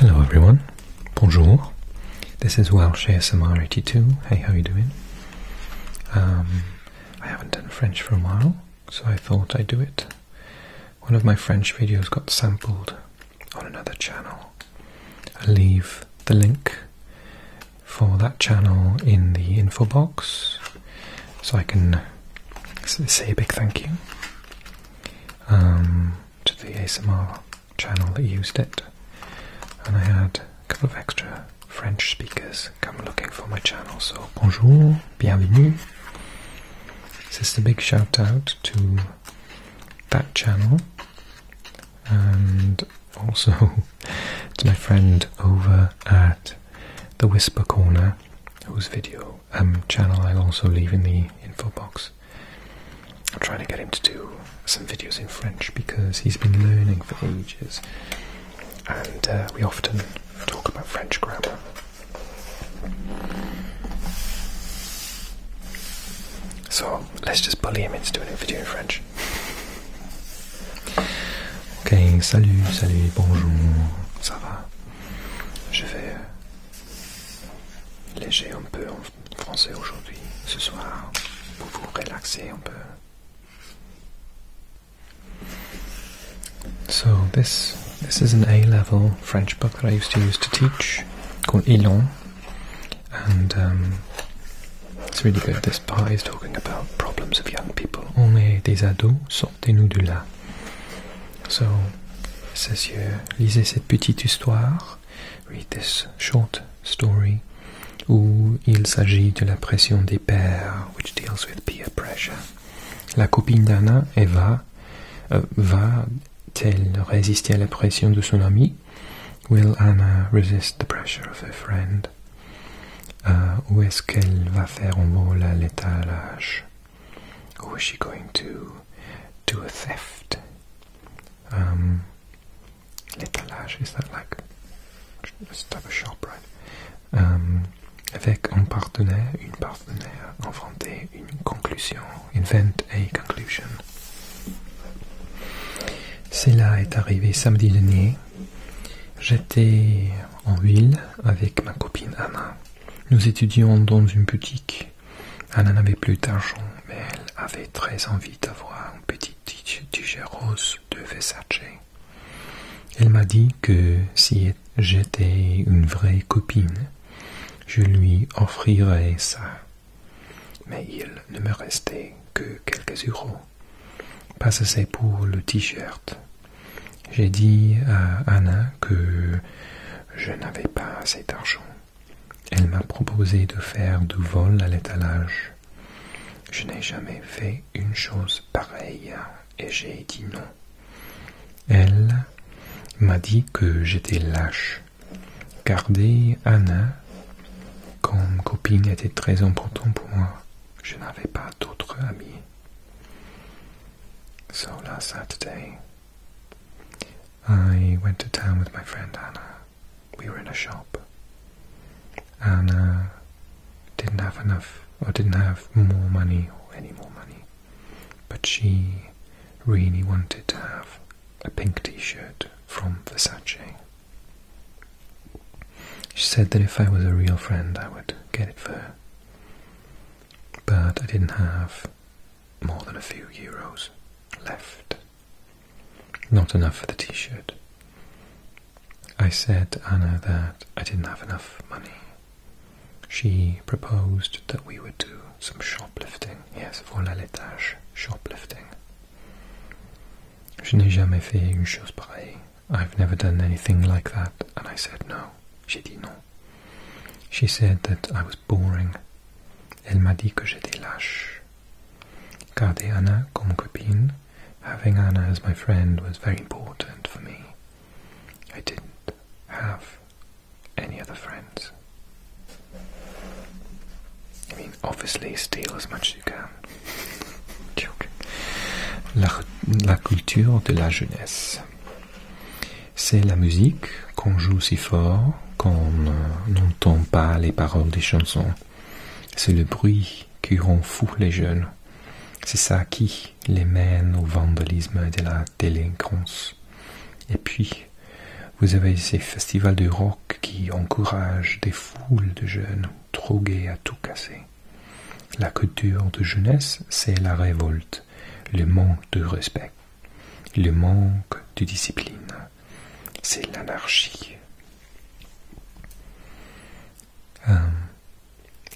Hello everyone, bonjour. This is Welsh ASMR 82. Hey, how you doing? Um, I haven't done French for a while, so I thought I'd do it. One of my French videos got sampled on another channel. I'll leave the link for that channel in the info box, so I can say a big thank you. Um, to the ASMR channel that used it, and I had a couple of extra French speakers come looking for my channel. So, bonjour, bienvenue. This is a big shout out to that channel and also to my friend over at the Whisper Corner, whose video um, channel I'll also leave in the info box. I'm trying to get him to do some videos in French because he's been learning for ages, and uh, we often talk about French grammar. So let's just bully him into doing a video in French. Ok, salut, salut, bonjour, ça va? Je vais euh, léger un peu en français aujourd'hui. Ce soir, pour vous relaxer, un peu. So this this is an A-level French book that I used to use to teach called Elon, and um, it's really good. This part is talking about problems of young people. On est des ados, sortez-nous de là. So, says lisez cette petite histoire, read this short story, où il s'agit de la pression des pairs, which deals with peer pressure. La copine d'Anna, Eva, euh, va-t-elle résister à la pression de son ami? Will Anna resist the pressure of her friend? Euh, ou est-ce qu'elle va faire un vol à l'étalage? Ou est she going to do a theft? Um, L'étalage, is that like a type of right? Um, avec un partenaire, une partenaire, inventer une conclusion, Inventer une conclusion. Cela est arrivé samedi dernier. J'étais en ville avec ma copine Anna. Nous étudions dans une boutique Anna n'avait plus d'argent, mais elle avait très envie d'avoir un petit rose de Versace. Elle m'a dit que si j'étais une vraie copine, je lui offrirais ça. Mais il ne me restait que quelques euros. Pas assez pour le t-shirt. J'ai dit à Anna que je n'avais pas assez d'argent elle m'a proposé de faire du vol à l'étalage. Je n'ai jamais fait une chose pareille et j'ai dit non. Elle m'a dit que j'étais lâche. Garder Anna comme copine était très important pour moi. Je n'avais pas d'autres amis. So last Saturday, I went to town with my friend Anna. We were in a shop. Anna didn't have enough, or didn't have more money, or any more money, but she really wanted to have a pink t-shirt from Versace. She said that if I was a real friend, I would get it for her. But I didn't have more than a few euros left. Not enough for the t-shirt. I said to Anna that I didn't have enough money. She proposed that we would do some shoplifting. Yes, voilà l'étage, shoplifting. Je n'ai jamais fait une chose pareille. I've never done anything like that. And I said no. She did not. She said that I was boring. Elle m'a dit que j'étais lâche. having Anna as my friend was very important for me. I didn't have any other friends. I mean, obviously, steal as much as you can. la culture de la jeunesse. c'est la musique qu'on joue si fort qu'on euh, n'entend pas les paroles des chansons. C'est le bruit qui rend fou les jeunes. C'est ça qui les mène au vandalisme et à la délinquance. Et puis, vous avez ces festivals de rock qui encouragent des foules de jeunes trop gais à tout casser. La culture de jeunesse, c'est la révolte, le manque de respect. le manque de discipline, c'est l'anarchie. Um,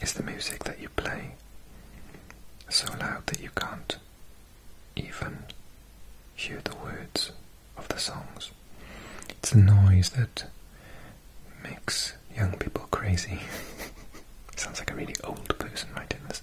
is the music that you play so loud that you can't even hear the words of the songs? It's the noise that makes young people crazy. Sounds like a really old person writing this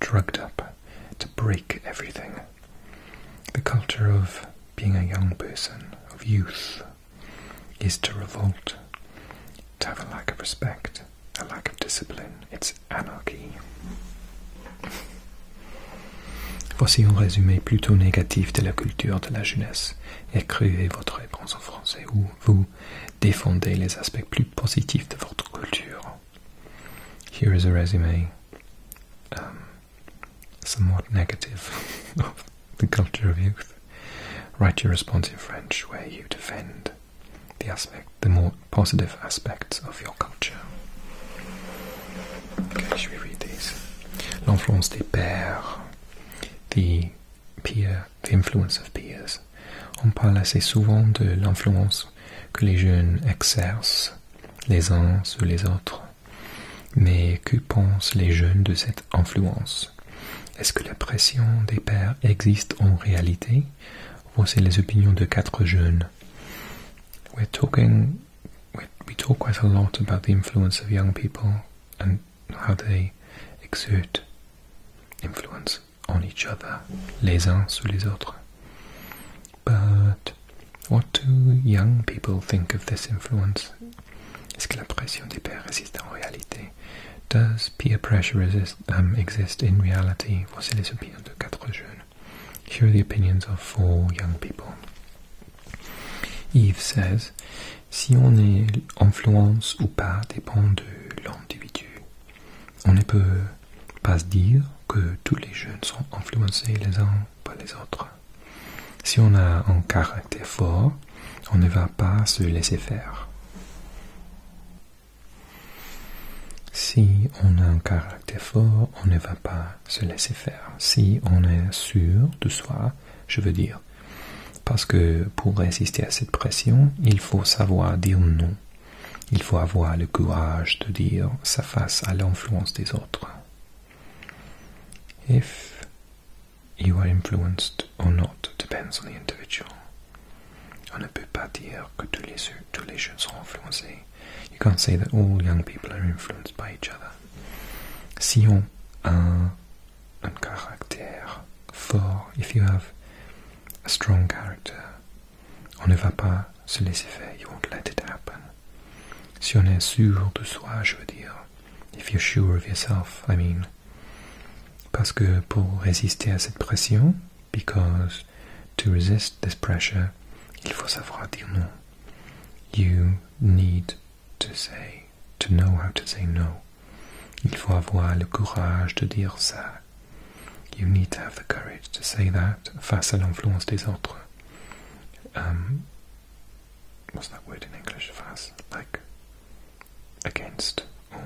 drugged up to break everything. The culture of being a young person, of youth, is to revolt, to have a lack of respect, a lack of discipline. It's anarchy. Voici un résumé plutôt négatif de la culture de la jeunesse. Écrivez votre réponse en français où vous défendez les aspects plus positifs de votre culture. Here is a resume, um, somewhat negative, of the culture of youth. Write your response in French, where you defend the aspect, the more positive aspects of your culture. Okay, we read these? L'influence des pairs, the peer, the influence of peers. On parle assez souvent de l'influence que les jeunes exercent les uns sur les autres. Mais que pensent les jeunes de cette influence Est-ce que la pression des pères existe en réalité Voici les opinions de quatre jeunes on each other, les uns sur les autres. But what do young people think of this influence? Est-ce que la pression des pairs résiste en réalité? Does peer pressure exist, um, exist in reality? Voici les opinions de quatre jeunes. Here are the opinions of four young people. Yves says, si on est influence ou pas dépend de l'individu. On ne peut pas se dire que tous les jeunes sont influencés les uns par les autres. Si on a un caractère fort, on ne va pas se laisser faire. Si on a un caractère fort, on ne va pas se laisser faire. Si on est sûr de soi, je veux dire. Parce que pour résister à cette pression, il faut savoir dire non. Il faut avoir le courage de dire sa face à l'influence des autres. If you are influenced or not depends on the individual. On ne peut pas dire que tous les, tous jeunes sont influencés. You can't say that all young people are influenced by each other. Si on a un, caractère fort, if you have a strong character, on ne va pas se laisser faire. You won't let it happen. Si on est sûr de soi, je veux dire. If you're sure of yourself, I mean. Parce que pour résister à cette pression, because to resist this pressure, il faut savoir dire non. You need to say, to know how to say no. Il faut avoir le courage de dire ça you need to have the courage to say that face à l'influence des autres. Um, what's that word in English? Face, like against or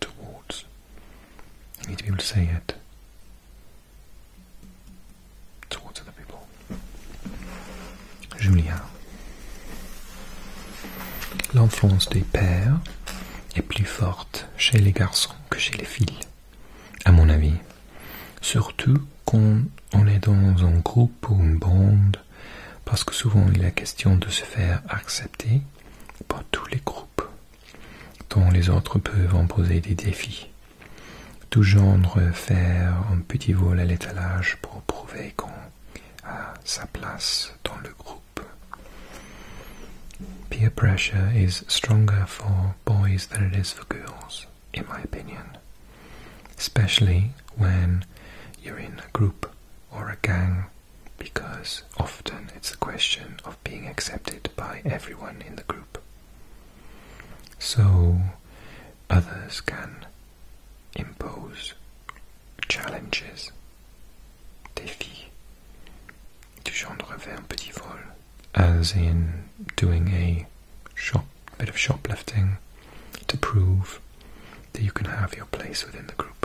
towards. You need to be able to say it towards other people. Julien. L'influence des pères est plus forte chez les garçons que chez les filles, à mon avis. Surtout quand on est dans un groupe ou une bande, parce que souvent il est question de se faire accepter par tous les groupes, dont les autres peuvent poser des défis. Tout genre faire un petit vol à l'étalage pour prouver qu'on a sa place dans le groupe. Peer pressure is stronger for boys than it is for girls, in my opinion. Especially when you're in a group or a gang, because often it's a question of being accepted by everyone in the group. So others can impose challenges, défis. Du genre un petit vol. as in doing a bit shoplifting to prove that you can have your place within the group.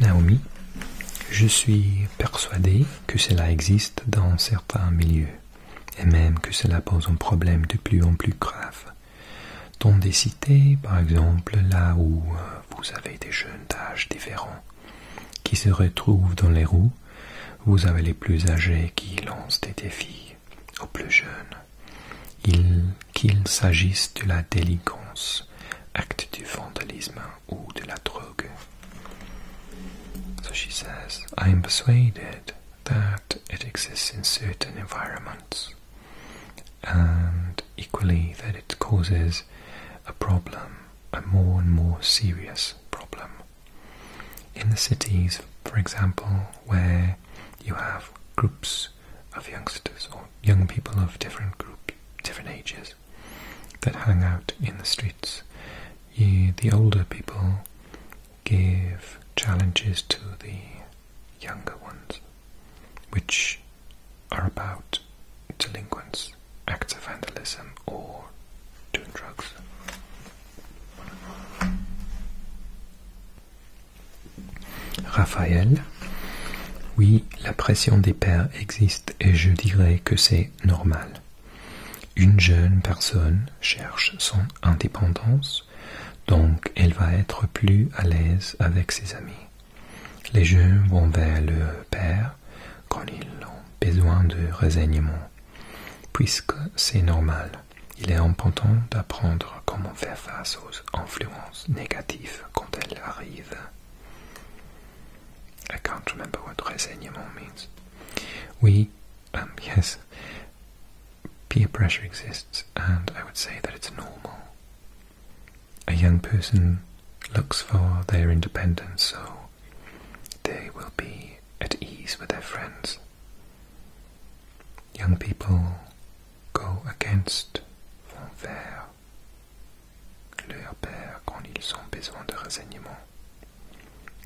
Naomi, je suis persuadé que cela existe dans certains milieux, et même que cela pose un problème de plus en plus grave. Dans des cités, par exemple, là où euh, vous avez des jeunes d'âge différents, qui se retrouvent dans les roues, vous avez les plus âgés qui lancent des défis aux plus jeunes, qu'il s'agisse de la délinquance, acte du vandalisme ou de la drogue. So she says, I am persuaded that it exists in certain environments and equally that it causes a problem a more and more serious problem. In the cities, for example, where you have groups of youngsters or young people of different group, different ages that hang out in the streets, the older people give challenges to the younger ones, which are about delinquents, acts of vandalism, or de drugs. Raphaël, oui, la pression des pères existe et je dirais que c'est normal. Une jeune personne cherche son indépendance, donc elle va être plus à l'aise avec ses amis. Les jeunes vont vers le père quand ils ont besoin de renseignements, puisque c'est normal. Il est important d'apprendre comment faire face aux influences négatives quand elles arrivent. I can't remember what renseignement means. We, um, yes, peer pressure exists, and I would say that it's normal. A young person looks for their independence, so they will be at ease with their friends. Young people go against vont vers leur père quand ils ont besoin de renseignements.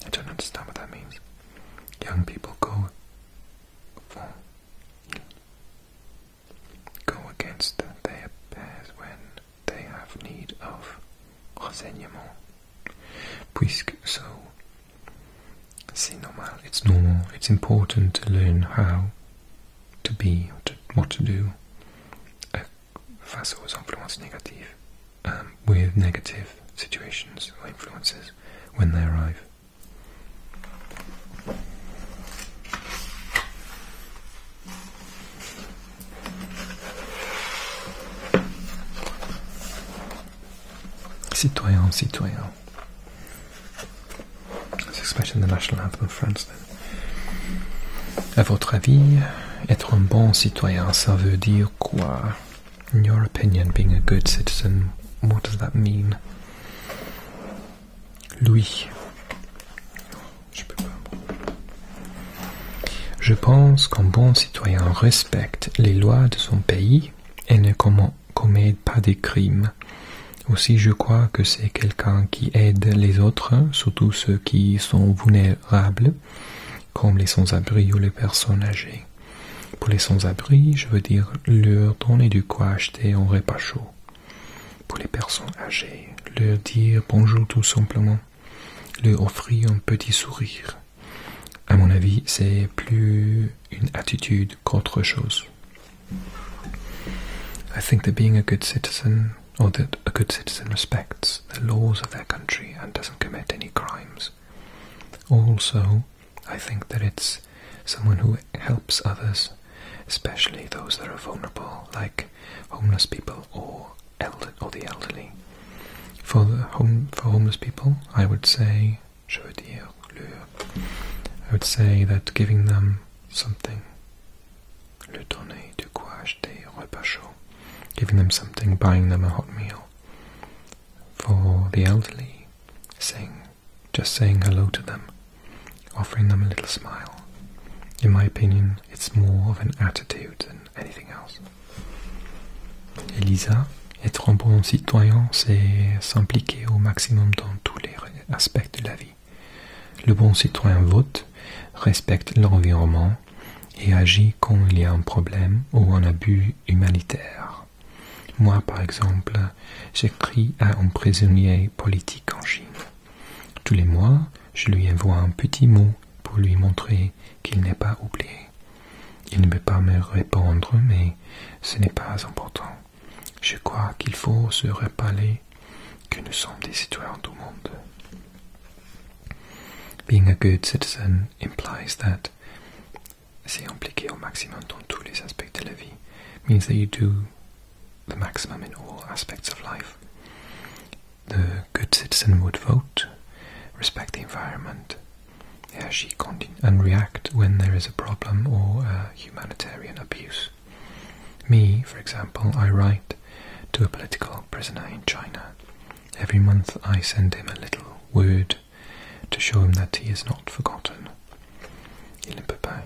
I don't understand what that means. Young people go vont go against their pairs when they have need of renseignement. Puisque so, c'est normal, it's normal, it's important to learn how to be, what to do uh, face those influences negative, um, with negative situations or influences when they arrive. Citoyen, citoyen. C'est expression the national anthem of France. A votre avis, être un bon citoyen, ça veut dire quoi? In your opinion, being a good citizen, what does that mean? Lui, je pense qu'un bon citoyen respecte les lois de son pays et ne commet pas des crimes. Aussi, je crois que c'est quelqu'un qui aide les autres, surtout ceux qui sont vulnérables, comme les sans-abri ou les personnes âgées. Pour les sans-abri, je veux dire leur donner du quoi acheter en repas chaud. Pour les personnes âgées, leur dire bonjour tout simplement. lui offrit un petit sourire. À mon avis, c'est plus une attitude qu'autre chose. I think that being a good citizen, or that a good citizen respects the laws of their country and doesn't commit any crimes. Also, I think that it's someone who helps others, especially those that are vulnerable, like homeless people or elder or the elderly. For the home for homeless people, I would say I would say that giving them something, le donner du quoi acheter repas chaud, giving them something, buying them a hot meal. For the elderly, saying just saying hello to them, offering them a little smile. In my opinion, it's more of an attitude than Elisa, être un bon citoyen, c'est s'impliquer au maximum dans tous les aspects de la vie. Le bon citoyen vote, respecte l'environnement et agit quand il y a un problème ou un abus humanitaire. Moi, par exemple, j'écris à un prisonnier politique en Chine. Tous les mois, je lui envoie un petit mot pour lui montrer qu'il n'est pas oublié. Il ne peut pas me répondre, mais ce n'est pas important. Je crois qu'il faut se rappeler que nous sommes des citoyens du monde. Being a good citizen implies that c'est impliqué au maximum dans tous les aspects de la vie. Means that you do the maximum in all aspects of life. the good citizen would vote, respect the environment, and react when there is a problem or humanitarian abuse. Me, for example, I write to a political prisoner in China. Every month I send him a little word to show him that he is not forgotten.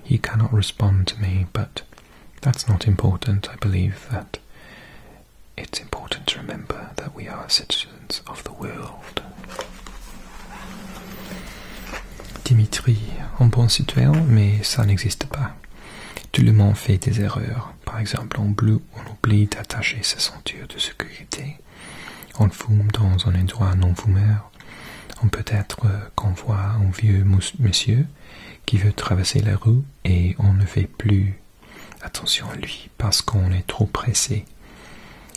He cannot respond to me, but that's not important. I believe that it's important to remember that we are citizens of the world. Dimitri, en bon citoyen, mais ça n'existe pas. Tout le monde fait des erreurs. Par exemple, en bleu, on oublie d'attacher sa ceinture de sécurité. On fume dans un endroit non fumeur. On peut-être euh, qu'on voit un vieux monsieur qui veut traverser la rue et on ne fait plus attention à lui parce qu'on est trop pressé.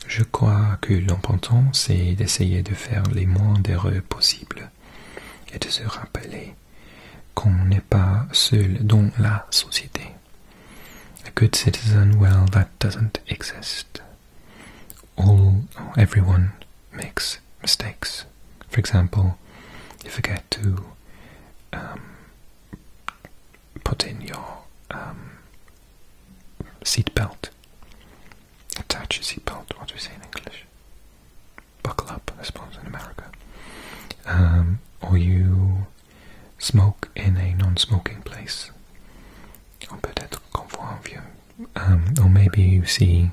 Je crois que l'important c'est d'essayer de faire les moins d'erreurs possibles et de se rappeler qu'on n'est pas seul dans la société. A good citizen, well, that doesn't exist. All, everyone makes mistakes. For example, you forget to um, put in your um, seat belt. Attach your seat belt. What do we say in English? Buckle up, I suppose, in America. Um, or you smoke in a non-smoking place. Or peut-être qu'on voit un vieux. Um, or maybe you see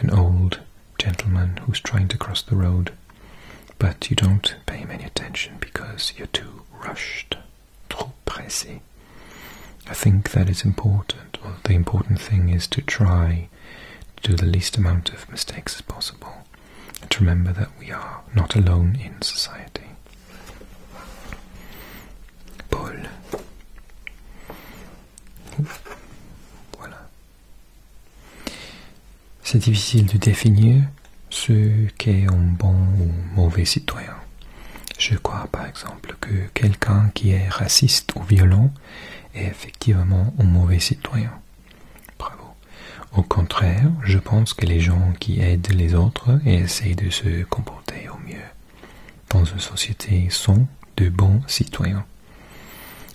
an old gentleman who's trying to cross the road, but you don't pay him any attention because you're too rushed, trop pressé. I think that it's important, or the important thing is to try to do the least amount of mistakes as possible, and to remember that we are not alone in society. Paul. Voilà. C'est difficile de définir ce qu'est un bon ou mauvais citoyen. Je crois par exemple que quelqu'un qui est raciste ou violent est effectivement un mauvais citoyen. Bravo. Au contraire, je pense que les gens qui aident les autres et essayent de se comporter au mieux dans une société sont de bons citoyens.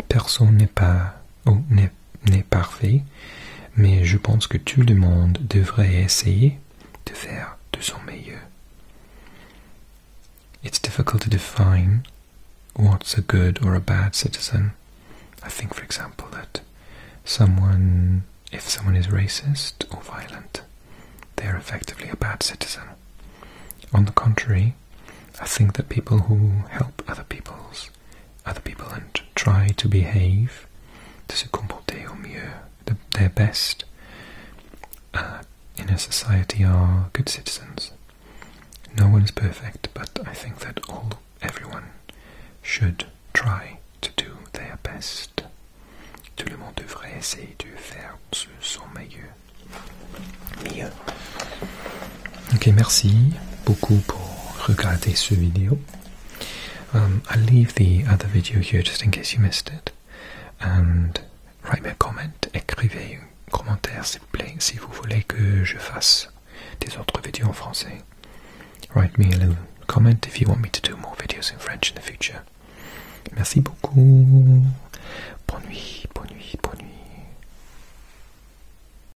Personne n'est pas It's difficult to define what's a good or a bad citizen. I think, for example, that someone, if someone is racist or violent, they're effectively a bad citizen. On the contrary, I think that people who help other people's other people and try to behave, de se comporter au mieux, uh, the, their best, uh, in a society are good citizens. No one is perfect, but I think that all everyone should try to do their best. Tout le monde devrait essayer de faire son meilleur. Mieux. Ok, merci beaucoup pour regarder ce vidéo. Um, I'll leave the other video here just in case you missed it. And write me a comment. Écrivez un commentaire s'il vous plaît si vous voulez que je fasse des autres vidéos en français. Write me a little comment if you want me to do more videos in French in the future. Merci beaucoup. Bonne nuit, bonne nuit, bonne nuit.